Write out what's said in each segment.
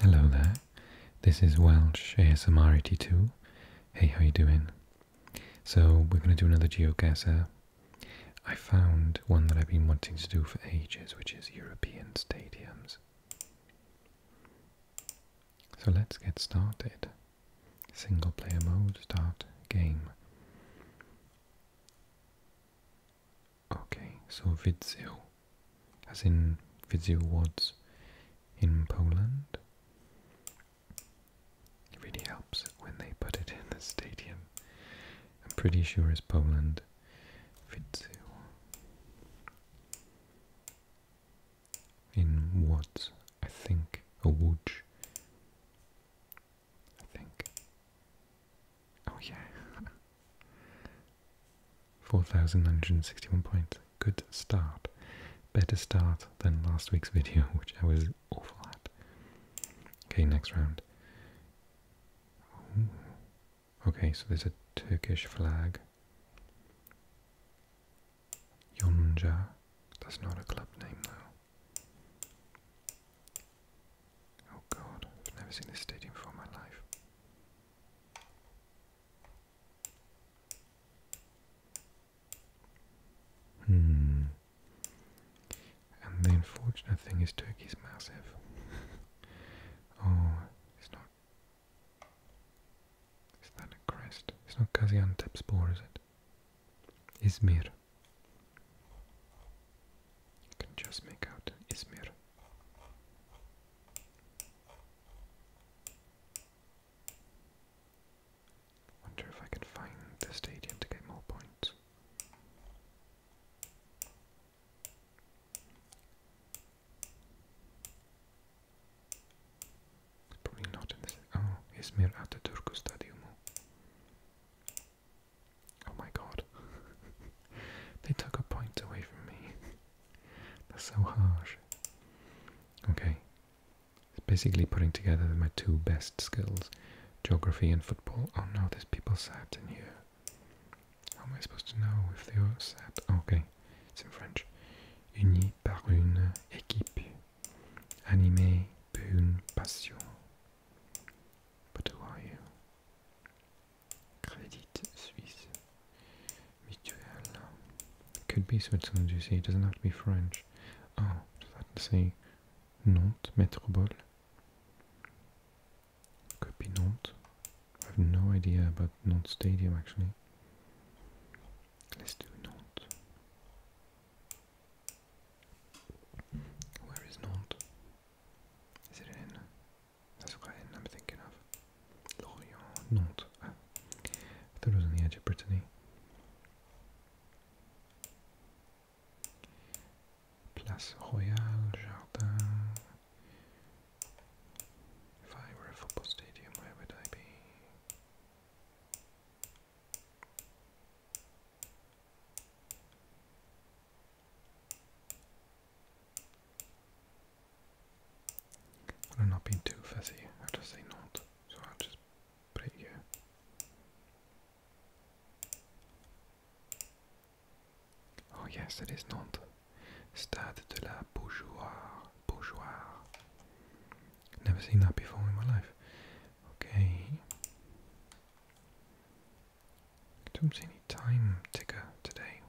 Hello there, this is Welsh ASMR 82. Hey, how you doing? So we're going to do another geoguesser. I found one that I've been wanting to do for ages, which is European stadiums. So let's get started. Single player mode, start game. Okay, so Widził, as in Widził Wards in Poland, it really helps when they put it in the stadium. I'm pretty sure it's Poland. Widził. In what? I think, a wood. I think. Oh yeah. 4,961 points. Good start. Better start than last week's video, which I was awful at. Okay, next round. Okay, so there's a Turkish flag. Yonca. That's not a club name, though. Oh god, I've never seen this stadium before in my life. Hmm. And the unfortunate thing is Turkey's massive. oh, it's not. Is that a crest? It's not Gaziantepspor, is it? Izmir. can just make out Izmir. Wonder if I can find the stadium to get more points. Probably not in this. Oh, İzmir Atatürk Stadyumu. Oh my god. They took a point away from me. That's so harsh. Okay. It's basically putting together my two best skills. Geography and football. Oh no, there's people sat in here. How am I supposed to know if they are sat? Okay, it's in French. Unis par une équipe, animée par une passion. But who are you? Credit Suisse. Could be Switzerland, you see. It doesn't have to be French. Oh, does that say Nantes, Metropole? Could be Nantes. I have no idea about Nantes Stadium, actually. Let's do Nantes. Where is Nantes? Is it in? That's what I'm thinking of. Lorient, Nantes. I thought it was on the edge of Brittany. Place Royale, Jardin. If I were a football stadium, where would I be? I'm not being too fussy, I'll just say not, so I'll just put it here. Oh yes, it is not Stade de la Beaujoire. Beaujoire. Never seen that before in my life. Okay. I don't see any time ticker today.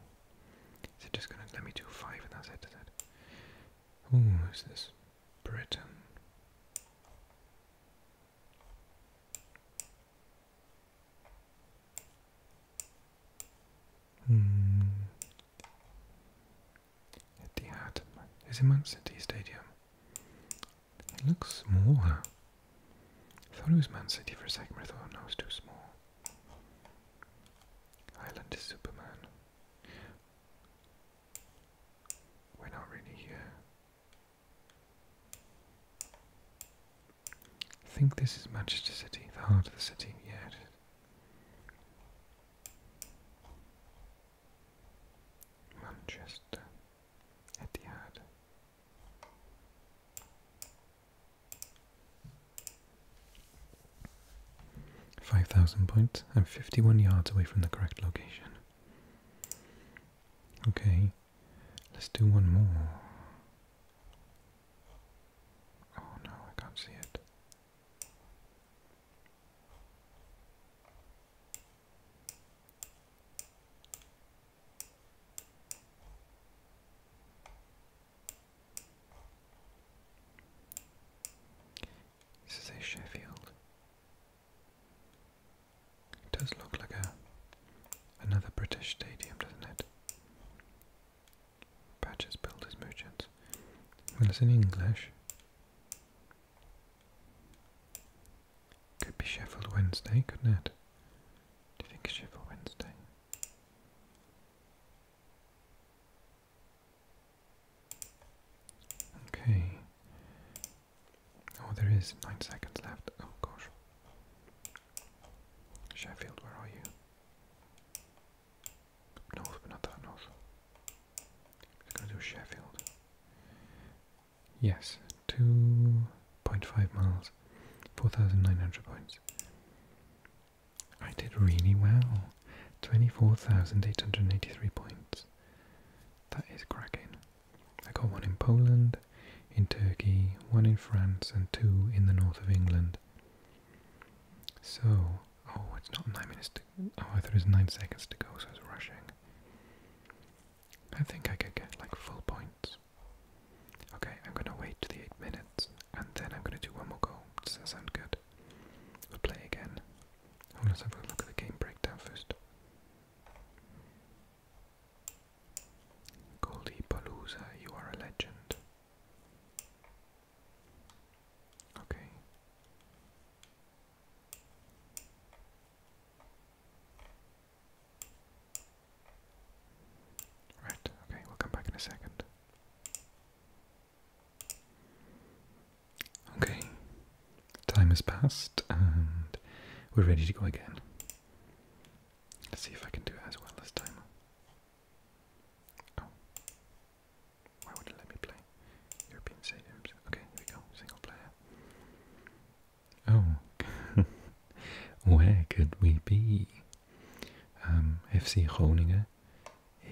Is it just going to let me do five and that it? Is it? Ooh, is this Britain? Hmm. Etihad. Is it Man City Stadium? It looks smaller I thought it was Man City for a second, but I thought, no, was too small. Island is Superman. We're not really here. I think this is Manchester City, the heart of the city, yeah. It is. Manchester. Etihad. 5,000 points. I'm 51 yards away from the correct location. Okay, let's do one more. Oh no, I can't see it. This is a Sheffield. It does look like a another British stadium, doesn't it? Patches, builders, merchants. Well, it's in English. Could be Sheffield Wednesday, couldn't it? Do you think it's Sheffield Wednesday? Okay. Oh, there is nine seconds left. Oh gosh. Sheffield, where are you? North, but not that north. I'm gonna do Sheffield. Yes, 2.5 miles 4,900 points. I did really well. 24,883 points. That is cracking. I got one in Poland, in Turkey, one in France, and two in the north of England. So, oh, it's not nine minutes to. Oh, I thought it was nine seconds to go, so I was rushing. I think I could get like full points. Okay, I'm gonna wait the 8 minutes and then I'm gonna do one more go. Does that sound good? We'll play again. Oh, let's have a look at the game breakdown first. Goldie Palooza, you are a legend. Okay. Right, okay, we'll come back in a second. Okay, time has passed and we're ready to go again. Let's see if I can do it as well this time. Oh. Why would it let me play? European stadiums. Okay, here we go. Single player. Oh, where could we be? Um, FC Groningen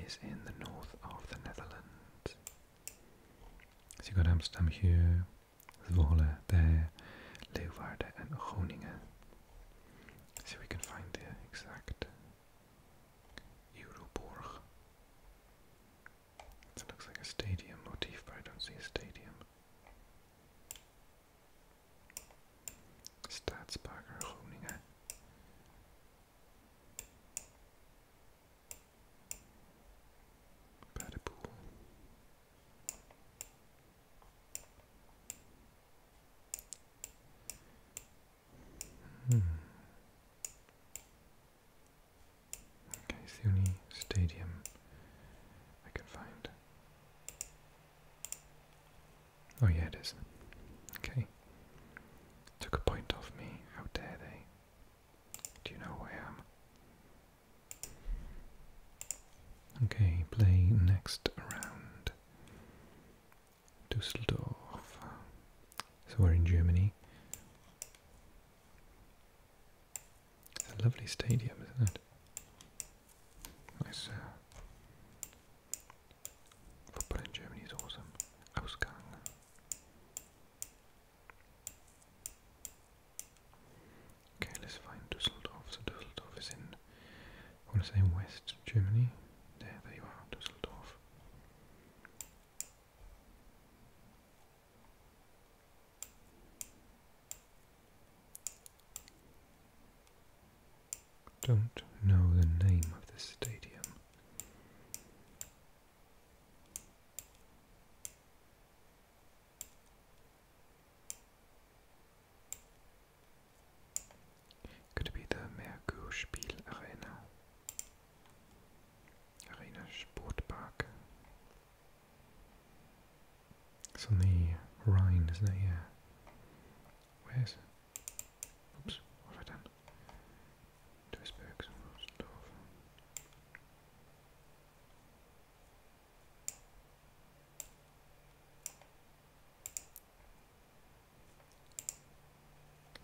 is in the north of the Netherlands. So you've got Amsterdam here, Zwolle there, Leeuwarden and Groningen. So we can find the exact Euroborg. That looks like a stadium motif, but I don't see a stadium. Stadsparker Groningen. By the Hmm. Okay, only stadium I can find. Oh yeah, it is. Okay. Took a point off me. How dare they? Do you know who I am? Okay, play next round. Dusseldorf. So we're in Germany. It's a lovely stadium, isn't it? Nice. Uh, football in Germany is awesome. Ausgang. Okay, let's find Dusseldorf. So Dusseldorf is in, I want to say West Germany. There, there you are, Dusseldorf. Don't know the name of the stadium. Could be the Merkur-Spiel Arena Sportpark. It's on the Rhine, isn't it? Yeah. Where's. Oops, what have I done? Duisburg's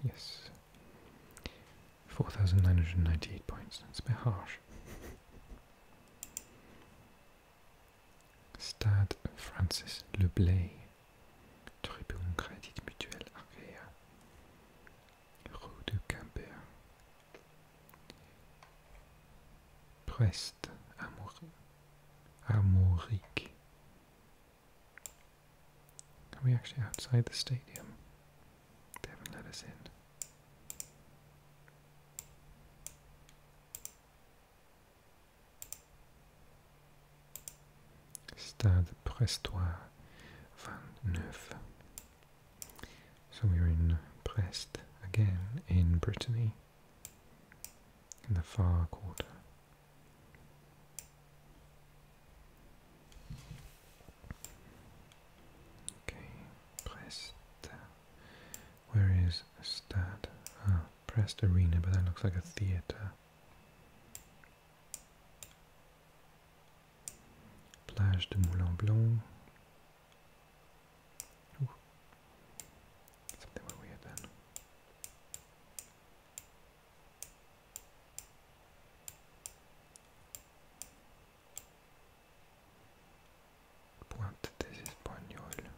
Yes. 4,998 points. That's a bit harsh. Stade Francis Leblay, Tribune Crédit Mutuel Rue de Quimper, Prest Armorique. Are we actually outside the stadium? They haven't let us in. Stade Prestois 29. So we're in Brest again in Brittany, in the far quarter. Okay, Brest. Where is Stad? Ah, Prest Arena, but that looks like a theatre. Plage de Moulin Blanc. Ooh. Something weird then. Pointe des Espagnols.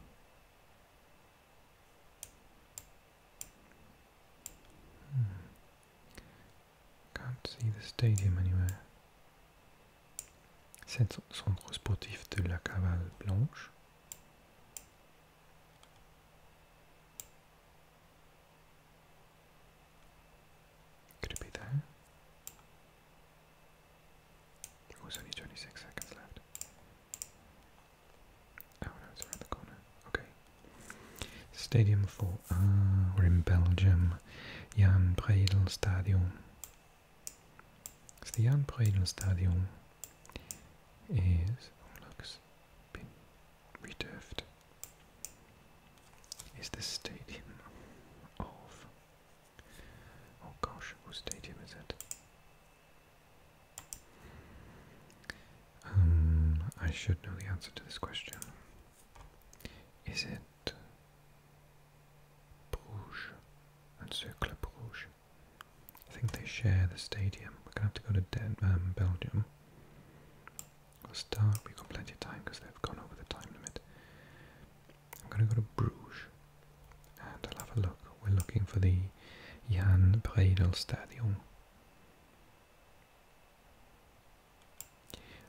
Hmm. Can't see the stadium anywhere. C'est centre sportif de la Cavale Blanche. Could it be there? There was only 26 seconds left. Oh no, it's around the corner. Okay. Stadium 4 ah, we're in Belgium. Jan Bredel Stadium. the Jan Bredel Stadium is, oh looks, been returfed. Is the stadium of Oh gosh, whose stadium is it? Um, I should know the answer to this question. Is it Bruges and Cercle Bruges? I think they share the stadium. We're gonna have to go to Den um, Belgium. We'll We've got plenty of time because they've gone over the time limit. I'm going to go to Bruges and I'll have a look. We're looking for the Jan Bredel Stadium.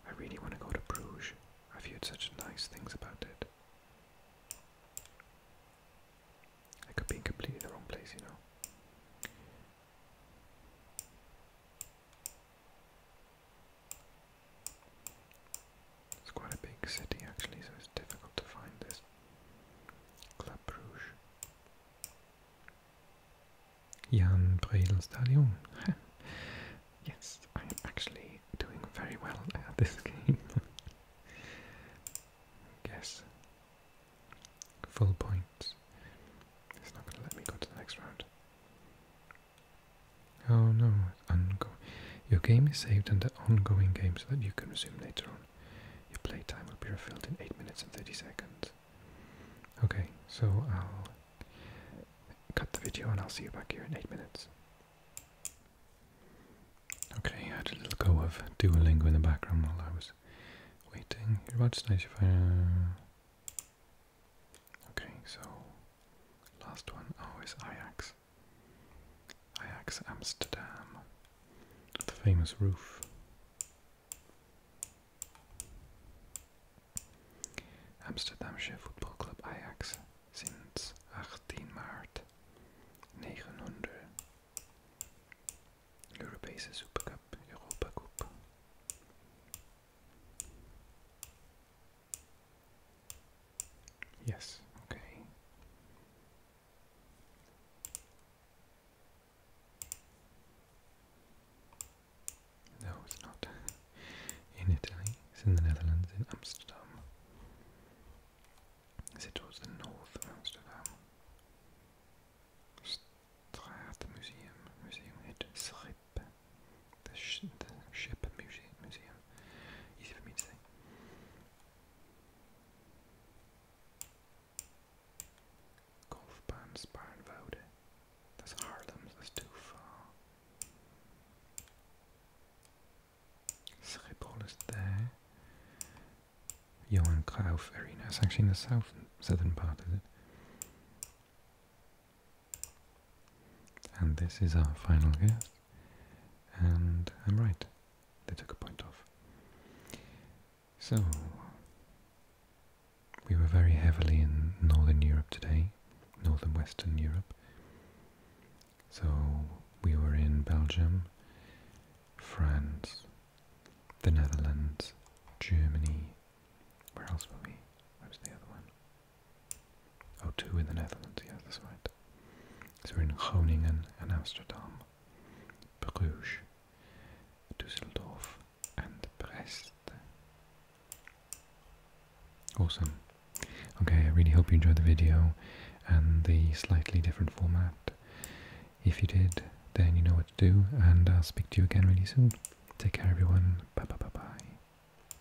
I really want to go to Bruges. I've heard such nice things about it. I could be in completely the wrong place, you know. It's quite a big city actually, so it's difficult to find this. Club Bruges. Jan Bredel Stadion. yes, I'm actually doing very well at this game. Guess. Full points. It's not going to let me go to the next round. Oh no, ongoing. Your game is saved and the ongoing game so that you can resume later on. Your playtime will be refilled in 8 minutes and 30 seconds. Okay, so I'll cut the video and I'll see you back here in 8 minutes. Okay, I had a little go of Duolingo in the background while I was waiting. You're about to stage if I... Okay, so last one. Oh, is Ajax. Ajax. Ajax Amsterdam. The famous roof. Amsterdamse voetbalclub Ajax sinds 18 maart 900. Europese Supercup, Europa Cup. Yes, okay. No, it's not. In Italy, it's in the Netherlands, in Amsterdam. Is it towards the north of Amsterdam? Straatmuseum, museum at Schiphol the, ship museum, museum. Easy for me to say. Golfbaan Sparenvode. That's Haarlem, that's too far. Schiphol is there. Johan Cruyff Arena. It's actually in the south, southern part, is it? And this is our final guess. And I'm right. They took a point off. So, we were very heavily in Northern Europe today, Northern Western Europe. So, we were in Belgium, France, the Netherlands, Germany. Where else were we? Where was the other one? Oh, two in the Netherlands, Yeah, that's right. So we're in Groningen and Amsterdam, Bruges, Düsseldorf, and Brest. Awesome. Okay, I really hope you enjoyed the video and the slightly different format. If you did, then you know what to do, and I'll speak to you again really soon. Take care, everyone. Bye bye bye bye.